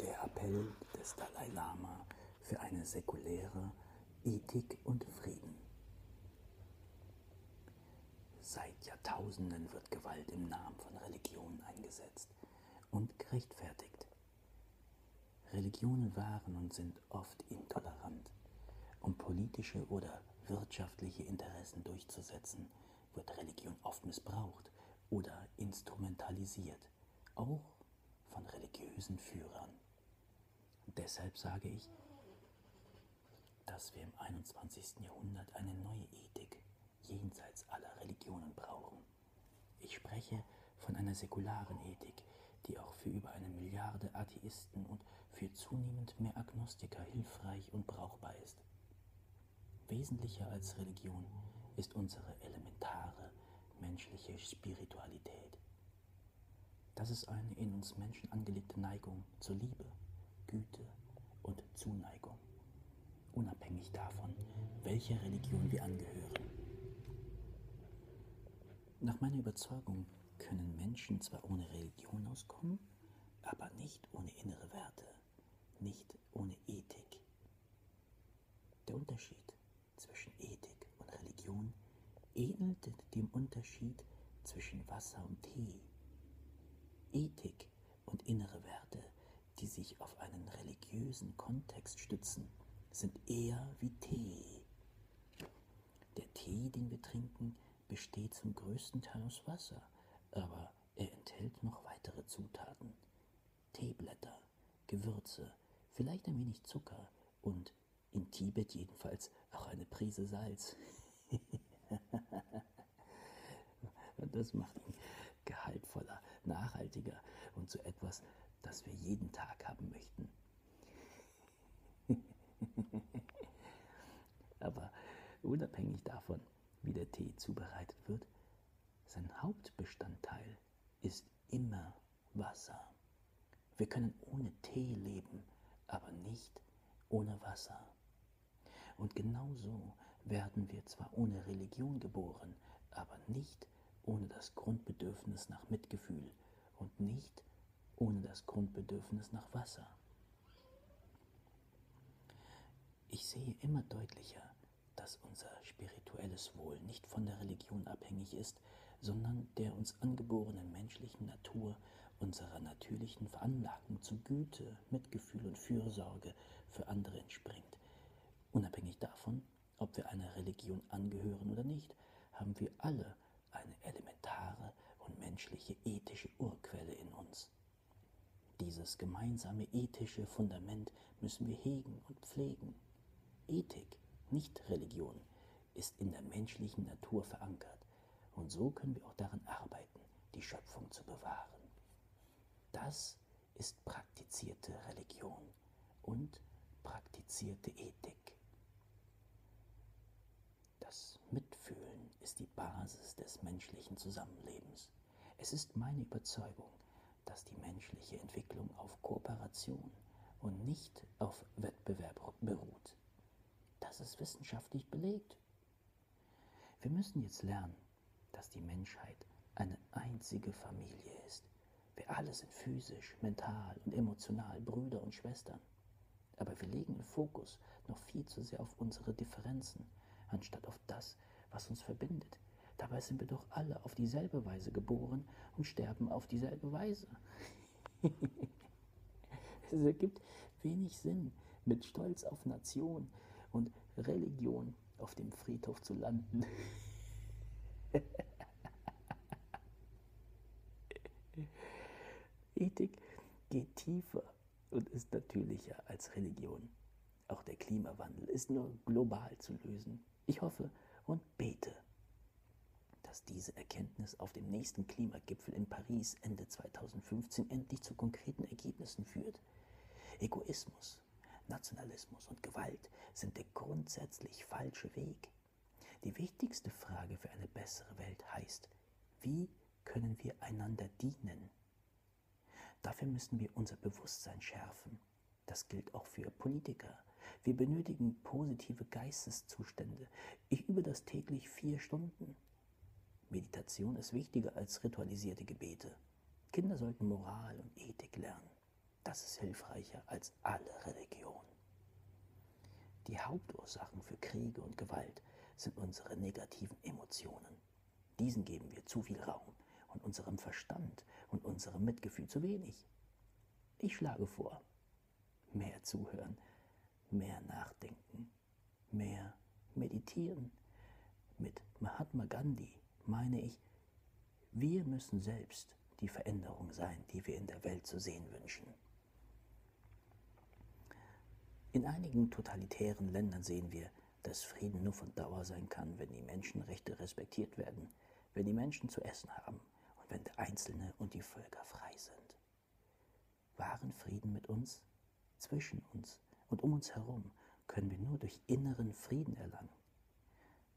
Der Appell des Dalai Lama für eine säkulare Ethik und Frieden. Seit Jahrtausenden wird Gewalt im Namen von Religion eingesetzt und gerechtfertigt. Religionen waren und sind oft intolerant. Um politische oder wirtschaftliche Interessen durchzusetzen, wird Religion oft missbraucht oder instrumentalisiert, auch von religiösen Führern. Deshalb sage ich, dass wir im 21. Jahrhundert eine neue Ethik jenseits aller Religionen brauchen. Ich spreche von einer säkularen Ethik, die auch für über eine Milliarde Atheisten und für zunehmend mehr Agnostiker hilfreich und brauchbar ist. Wesentlicher als Religion ist unsere elementare menschliche Spiritualität. Das ist eine in uns Menschen angelegte Neigung zur Liebe, Güte und Zuneigung, unabhängig davon, welcher Religion wir angehören. Nach meiner Überzeugung können Menschen zwar ohne Religion auskommen, aber nicht ohne innere Werte nicht ohne Ethik. Der Unterschied zwischen Ethik und Religion ähnelt dem Unterschied zwischen Wasser und Tee. Ethik und innere Werte, die sich auf einen religiösen Kontext stützen, sind eher wie Tee. Der Tee, den wir trinken, besteht zum größten Teil aus Wasser, aber er enthält noch weitere Zutaten. Teeblätter, Gewürze, vielleicht ein wenig Zucker und in Tibet jedenfalls auch eine Prise Salz. das macht ihn gehaltvoller, nachhaltiger und zu so etwas, das wir jeden Tag haben möchten. Aber unabhängig davon, wie der Tee zubereitet wird, sein Hauptbestandteil ist immer Wasser. Wir können ohne Tee leben, aber nicht ohne Wasser. Und genau so werden wir zwar ohne Religion geboren, aber nicht ohne das Grundbedürfnis nach Mitgefühl und nicht ohne das Grundbedürfnis nach Wasser. Ich sehe immer deutlicher, dass unser spirituelles Wohl nicht von der Religion abhängig ist, sondern der uns angeborenen menschlichen Natur, unserer natürlichen Veranlagung zu Güte, Mitgefühl und Fürsorge für andere entspringt. Unabhängig davon, ob wir einer Religion angehören oder nicht, haben wir alle eine elementare und menschliche ethische Urquelle in uns. Dieses gemeinsame ethische Fundament müssen wir hegen und pflegen. Ethik, nicht Religion, ist in der menschlichen Natur verankert und so können wir auch daran arbeiten, die Schöpfung zu bewahren. Das ist praktizierte Religion und praktizierte Ethik. Das Mitfühlen ist die Basis des menschlichen Zusammenlebens. Es ist meine Überzeugung, dass die menschliche Entwicklung auf Kooperation und nicht auf Wettbewerb beruht. Das ist wissenschaftlich belegt. Wir müssen jetzt lernen, dass die Menschheit eine einzige Familie ist. Wir alle sind physisch, mental und emotional Brüder und Schwestern. Aber wir legen den Fokus noch viel zu sehr auf unsere Differenzen, anstatt auf auf das, was uns verbindet. Dabei sind wir doch alle auf dieselbe Weise geboren und sterben auf dieselbe Weise. es ergibt wenig Sinn, mit Stolz auf Nation und Religion auf dem Friedhof zu landen. Ethik geht tiefer und ist natürlicher als Religion. Auch der Klimawandel ist nur global zu lösen. Ich hoffe und bete, dass diese Erkenntnis auf dem nächsten Klimagipfel in Paris Ende 2015 endlich zu konkreten Ergebnissen führt. Egoismus, Nationalismus und Gewalt sind der grundsätzlich falsche Weg. Die wichtigste Frage für eine bessere Welt heißt, wie können wir einander dienen? Dafür müssen wir unser Bewusstsein schärfen. Das gilt auch für Politiker. Wir benötigen positive Geisteszustände. Ich übe das täglich vier Stunden. Meditation ist wichtiger als ritualisierte Gebete. Kinder sollten Moral und Ethik lernen. Das ist hilfreicher als alle Religion. Die Hauptursachen für Kriege und Gewalt sind unsere negativen Emotionen. Diesen geben wir zu viel Raum und unserem Verstand und unserem Mitgefühl zu wenig. Ich schlage vor, mehr zuhören, mehr nachdenken, mehr meditieren. Mit Mahatma Gandhi meine ich, wir müssen selbst die Veränderung sein, die wir in der Welt zu sehen wünschen. In einigen totalitären Ländern sehen wir, dass Frieden nur von Dauer sein kann, wenn die Menschenrechte respektiert werden, wenn die Menschen zu essen haben und wenn der Einzelne und die Völker frei sind. Wahren Frieden mit uns, zwischen uns und um uns herum können wir nur durch inneren Frieden erlangen.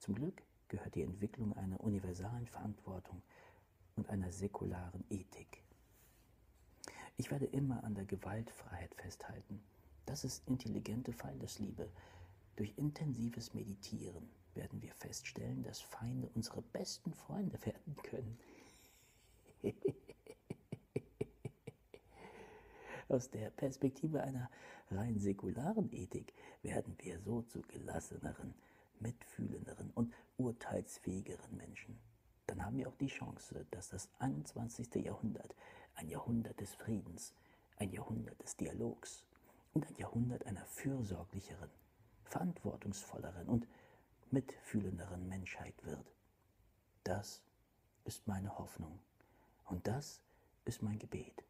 Zum Glück gehört die Entwicklung einer universalen Verantwortung und einer säkularen Ethik ich werde immer an der Gewaltfreiheit festhalten. Das ist intelligente Feindesliebe. Durch intensives Meditieren werden wir feststellen, dass Feinde unsere besten Freunde werden können. Aus der Perspektive einer rein säkularen Ethik werden wir so zu gelasseneren, mitfühlenderen und urteilsfähigeren Menschen dann haben wir auch die Chance, dass das 21. Jahrhundert ein Jahrhundert des Friedens, ein Jahrhundert des Dialogs und ein Jahrhundert einer fürsorglicheren, verantwortungsvolleren und mitfühlenderen Menschheit wird. Das ist meine Hoffnung und das ist mein Gebet.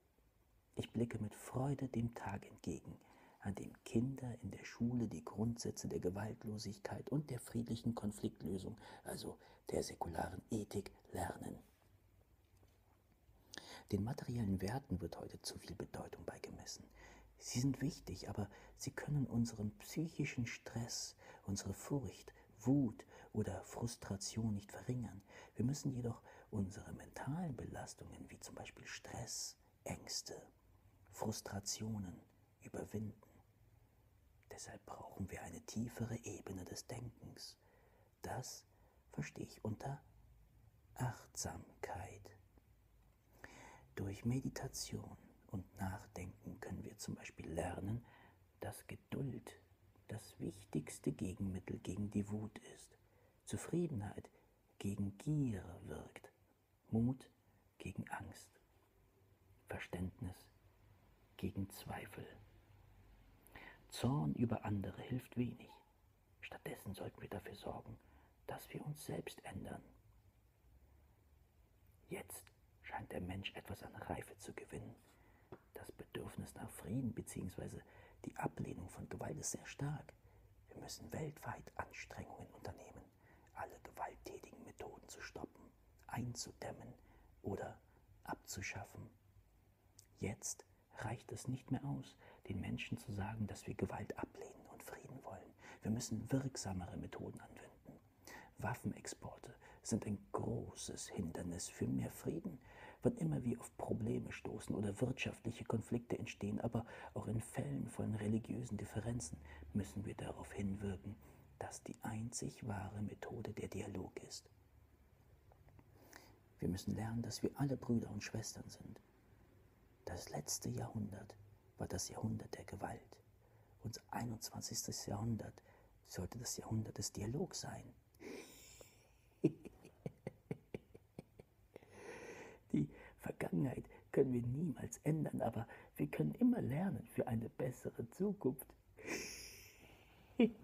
Ich blicke mit Freude dem Tag entgegen, an dem Kinder in der Schule die Grundsätze der Gewaltlosigkeit Gerechtigkeit und der friedlichen Konfliktlösung, also der säkularen Ethik, lernen. Den materiellen Werten wird heute zu viel Bedeutung beigemessen. Sie sind wichtig, aber sie können unseren psychischen Stress, unsere Furcht, Wut oder Frustration nicht verringern. Wir müssen jedoch unsere mentalen Belastungen wie zum Beispiel Stress, Ängste, Frustrationen, überwinden. Deshalb brauchen wir eine tiefere Ebene des Denkens. Das verstehe ich unter Achtsamkeit. Durch Meditation und Nachdenken können wir zum Beispiel lernen, dass Geduld das wichtigste Gegenmittel gegen die Wut ist. Zufriedenheit gegen Gier wirkt Mut gegen Angst, Verständnis gegen Zweifel. Zorn über andere hilft wenig. Stattdessen sollten wir dafür sorgen, dass wir uns selbst ändern. Jetzt scheint der Mensch etwas an Reife zu gewinnen. Das Bedürfnis nach Frieden bzw. die Ablehnung von Gewalt ist sehr stark. Wir müssen weltweit Anstrengungen unternehmen alle gewalttätigen Methoden zu stoppen, einzudämmen oder abzuschaffen. Jetzt reicht es nicht mehr aus, den Menschen zu sagen, dass wir Gewalt ablehnen und Frieden wollen. Wir müssen wirksamere Methoden anwenden. Waffenexporte sind ein großes Hindernis für mehr Frieden. Wann immer wir auf Probleme stoßen oder wirtschaftliche Konflikte entstehen, aber auch besonderen Fällen von religiösen Differenzen müssen wir darauf hinwirken, dass die einzig wahre Methode der Dialog ist. Wir müssen lernen, dass wir alle Brüder und Schwestern sind. Das letzte Jahrhundert war das Jahrhundert der Gewalt. Unser 21. Jahrhundert sollte das Jahrhundert des Dialogs sein. Die Vergangenheit können wir niemals ändern, aber wir können immer lernen für eine bessere Zukunft. Die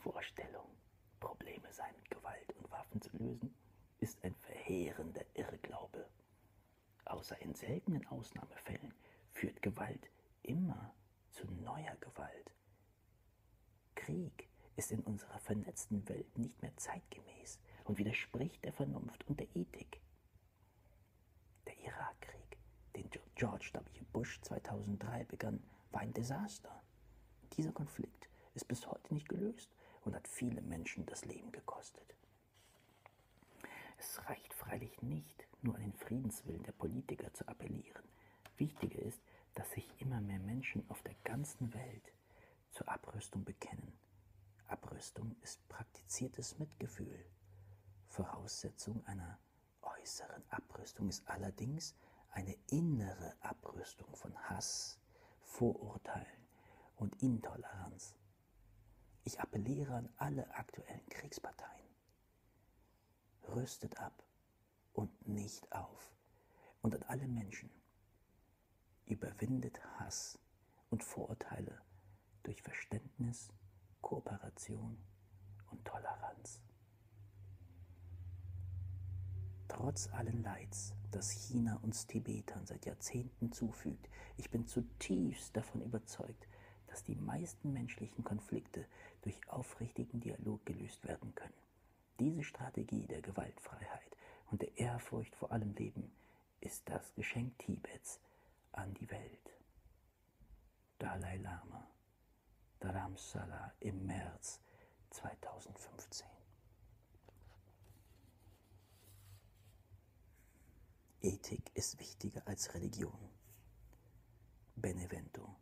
Vorstellung, Probleme sei mit Gewalt und Waffen zu lösen, ist ein verheerender Irrglaube. Außer in seltenen Ausnahmefällen führt Gewalt immer zu neuer Gewalt. Krieg ist in unserer vernetzten Welt nicht mehr zeitgemäß und widerspricht der Vernunft und der Ethik. Der Irakkrieg, den George W. Bush 2003 begann, war ein Desaster. Dieser Konflikt ist bis heute nicht gelöst und hat viele Menschen das Leben gekostet. Es reicht freilich nicht, nur an den Friedenswillen der Politiker zu appellieren. Wichtiger ist, dass sich immer mehr Menschen auf der ganzen Welt zur Abrüstung bekennen. Abrüstung ist praktiziertes Mitgefühl. Voraussetzung einer äußeren Abrüstung ist allerdings eine innere Abrüstung von Hass, Vorurteilen und Intoleranz. Ich appelliere an alle aktuellen Kriegsparteien. Rüstet ab und nicht auf. Und an alle Menschen überwindet Hass und Vorurteile durch Verständnis, Kooperation und Toleranz. Trotz allen Leids, das China uns Tibetern seit Jahrzehnten zufügt, ich bin zutiefst davon überzeugt, dass die meisten menschlichen Konflikte durch aufrichtigen Dialog gelöst werden können. Diese Strategie der Gewaltfreiheit und der Ehrfurcht vor allem Leben ist das Geschenk Tibets an die Welt. Dalai Lama, Dharamsala im März 2015. Ethik ist wichtiger als Religion. Benevento